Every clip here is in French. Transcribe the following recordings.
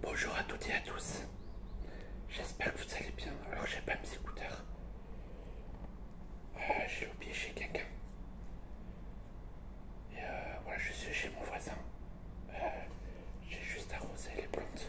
Bonjour à toutes et à tous, j'espère que vous allez bien. Alors j'ai pas mes écouteurs ah, j'ai oublié chez quelqu'un. Et euh, voilà, je suis chez mon voisin. Euh, j'ai juste arrosé les plantes.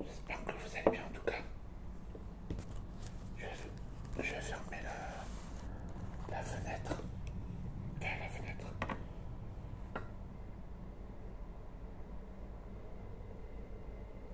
J'espère que vous allez bien en tout cas. Je vais, fermer la, la fenêtre. la fenêtre.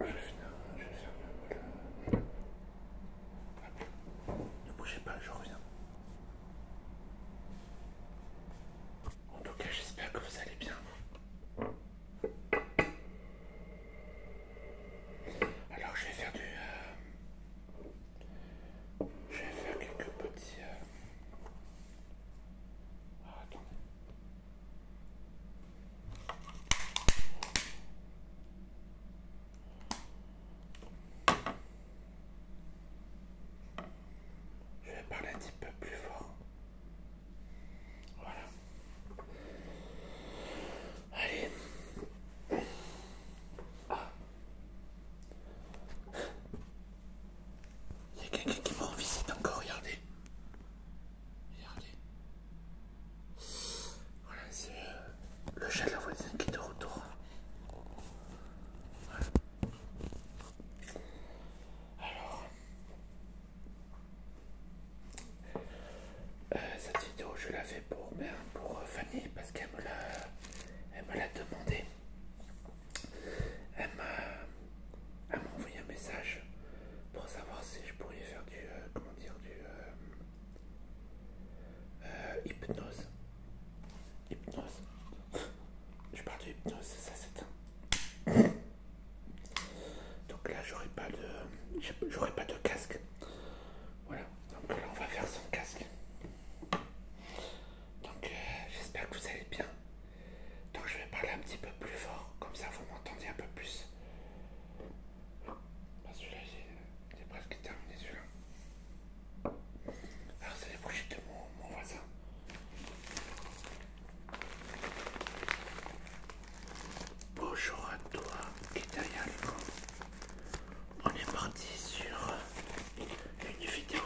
Je vais, je fermer la... Ne bougez pas, je reviens. En tout cas, j'espère que vous allez bien. Alors je vais faire du... Euh, je vais faire quelques petits... Euh, ah, je vais parler un petit peu plus fort. Voilà. Allez. Il y a quelqu'un qui m'en visite encore, regardez. Regardez. Voilà, c'est euh, le chat de la voisine qui te de Alors, euh, cette vidéo, je la fais pour, ben, pour euh, Fanny parce qu'elle me l'a demandé. Elle m'a envoyé un message pour savoir si je pourrais faire du. Euh, comment dire du. hypnose. Hypnose. je parle de hypnose, ça un donc là, j'aurai pas de, pas de casque. Voilà. Donc là, on va faire son casque. Donc euh, j'espère que vous allez bien. Donc je vais parler un petit peu plus fort, comme ça vous m'entendez un peu plus. parce que là j'ai presque terminé celui-là. Alors c'est les projets de mon voisin. Bonjour à toi Kitayako. On est parti sur une vidéo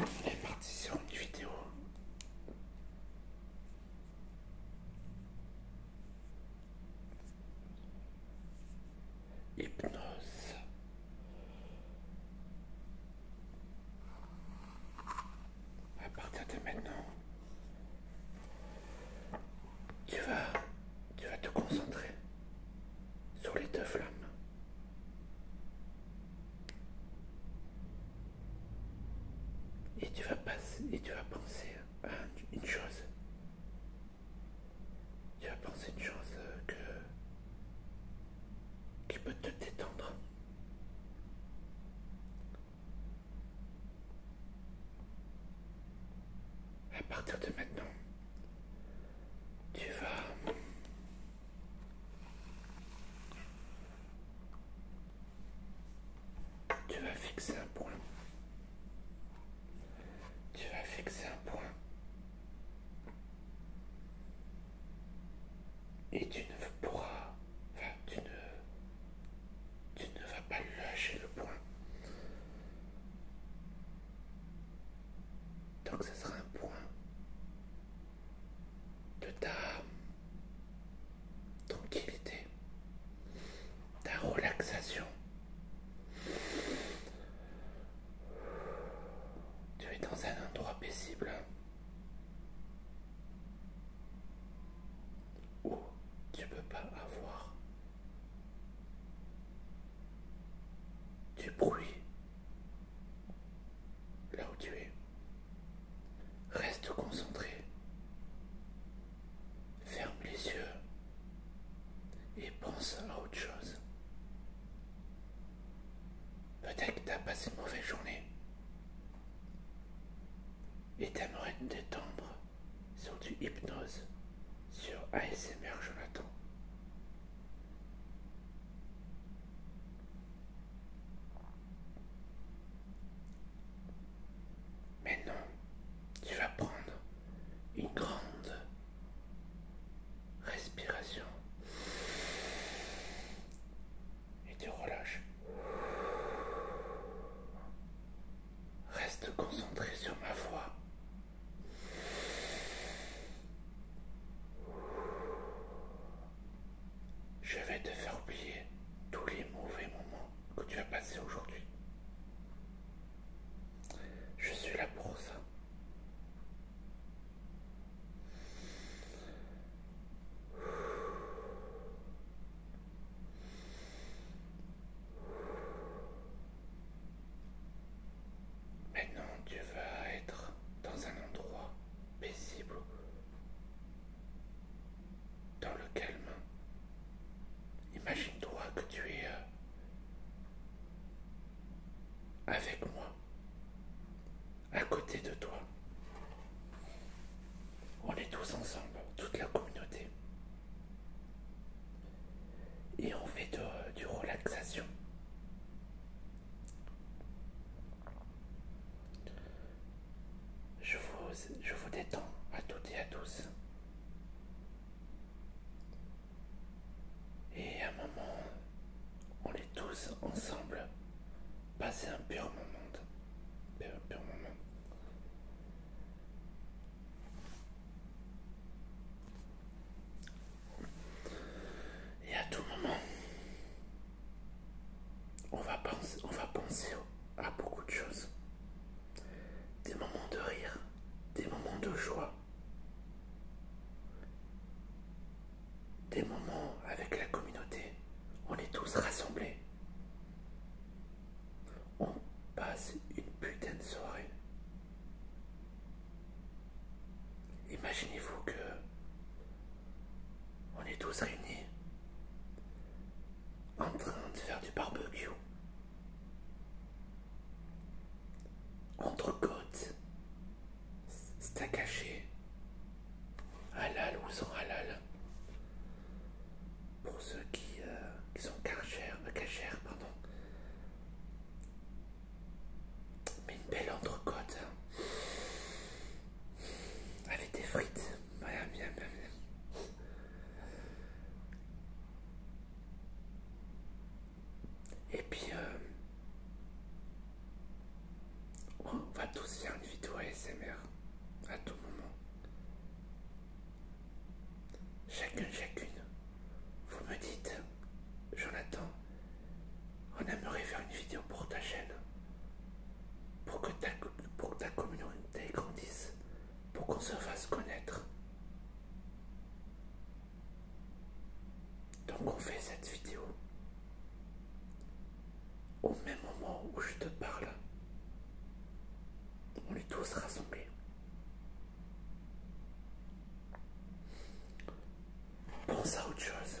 on est parti sur une vidéo Hypnose. À partir de maintenant, tu vas, tu vas te concentrer sur les deux flammes. Et tu vas passer, et tu vas penser à une chose tu vas penser une chose euh, que, qui peut te détendre. À partir de maintenant, tu vas tu vas fixer un point tu vas fixer un point. Et tu ne pourras. Enfin, tu ne. vas pas lâcher le point. Donc ce sera un point de ta tranquillité, ta relaxation. Tu es dans un endroit paisible où tu peux pas avoir du bruit là où tu es. Reste concentré. Ferme les yeux et pense à autre chose. Peut-être que t'as passé une mauvaise journée et t'aimerais te détendre sur du hypnose, sur ASMR Jonathan. Mais non, tu vas prendre une grande respiration et tu relâches. Reste concentré sur ma voix. Je vais te faire oublier tous les mauvais moments que tu as passés aujourd'hui. Je suis là pour ça. Maintenant, tu vas être dans un endroit paisible, dans le calme. Imagine-toi que tu es euh, avec moi, à côté de toi. On est tous ensemble, toute la communauté. Et on fait du relaxation. Je vous, je vous détends à toutes et à tous. Et à un moment, on est tous ensemble passé un pur moment. Et à tout moment, on va on va penser à beaucoup de choses. Des moments de rire, des moments de joie, des moments avec la communauté. On est tous rassemblés. On passe une putain de soirée. Imaginez-vous que on est tous réunis en train de faire du barbecue Entrecôte, à caché. halal ou sans halal. Pour ceux qui, euh, sont euh, cachères, pardon. Mais une belle entrecôte. Hein. Avec des frites. bien, bien, et puis, euh, on va tous faire une vidéo ASMR à tout moment. Chacun, chacune, vous me dites, Jonathan, on aimerait faire une vidéo pour ta chaîne, pour que ta communauté grandisse, pour qu'on se fasse connaître. Donc on fait cette vidéo au même moment où je te parle. On est tous rassemblés. Pense à autre chose.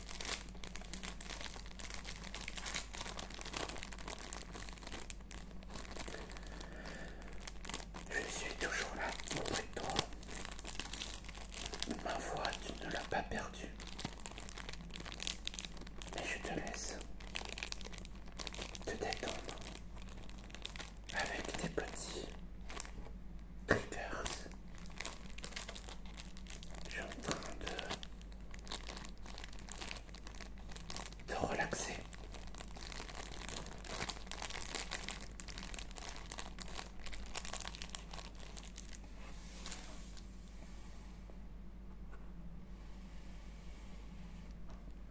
Je suis toujours là auprès de toi. Ma voix, tu ne l'as pas perdue. Et je te laisse te détendre avec tes petits triggers. Je en train de de relaxer.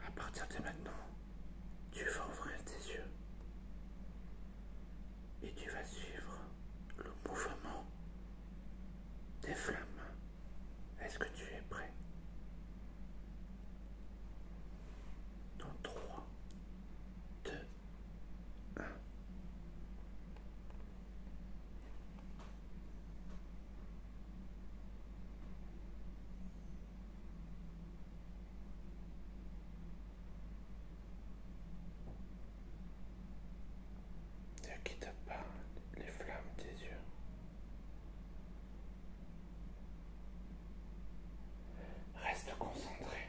À partir de maintenant, tu vas ouvrir tes yeux et tu vas suivre le mouvement des flammes. Est-ce que tu es prêt Dans 3, 2, 1. Ne quitte pas les flammes des yeux. Reste concentré.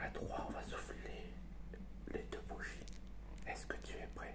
À trois, on va souffler les deux bougies. Est-ce que tu es prêt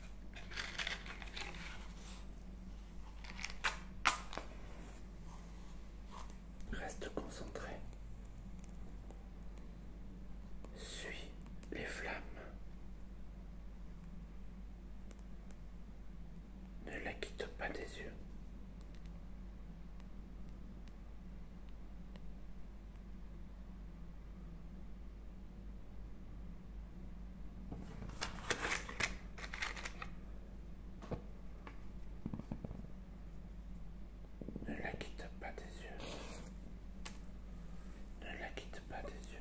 Reste concentré. Suis les flammes. Ne la quitte pas des yeux. Ne la quitte pas des yeux. Ne la quitte pas des yeux.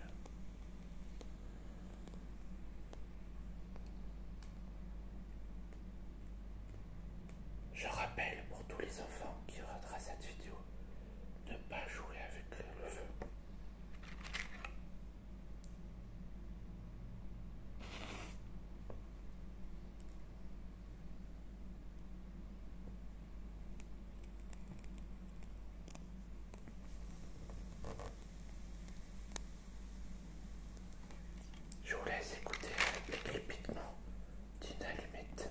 Je rappelle pour tous les enfants qui regardent cette vidéo ne pas jouer avec le feu. Je vous laisse écouter avec les d'une allumette.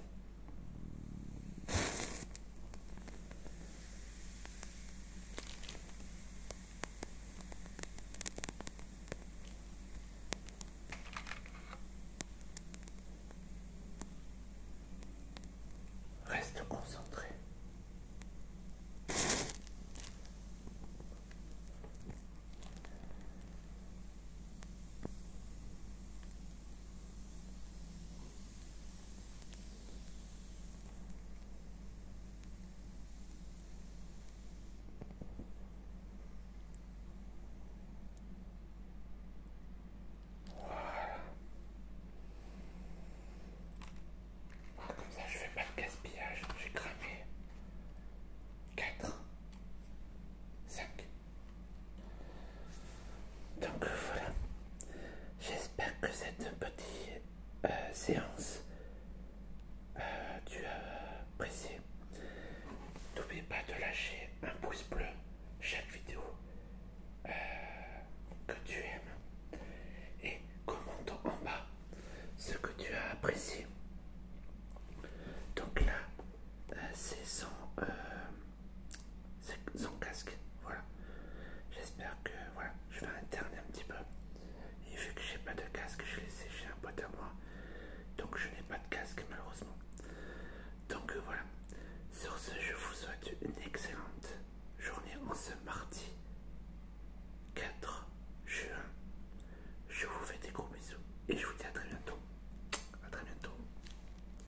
Reste concentré. Voilà. Comme ça, je fais pas de gaspillage. J'ai cramé 4, 5. Donc voilà, j'espère que cette petite euh, séance euh, tu as apprécié. N'oublie pas de lâcher un pouce bleu chaque vidéo euh, que tu aimes et commente en bas ce que tu as apprécié. Donc là, c'est son son casque. Voilà. J'espère que voilà, je vais interner un petit peu. Et vu que j'ai pas de casque, je l'ai laissé chez un pote à moi. Donc je n'ai pas de casque malheureusement. Donc euh, voilà. Sur ce, je vous souhaite une excellente journée en ce mardi 4 juin. Je vous fais des gros bisous et je vous dis à très bientôt. À très bientôt.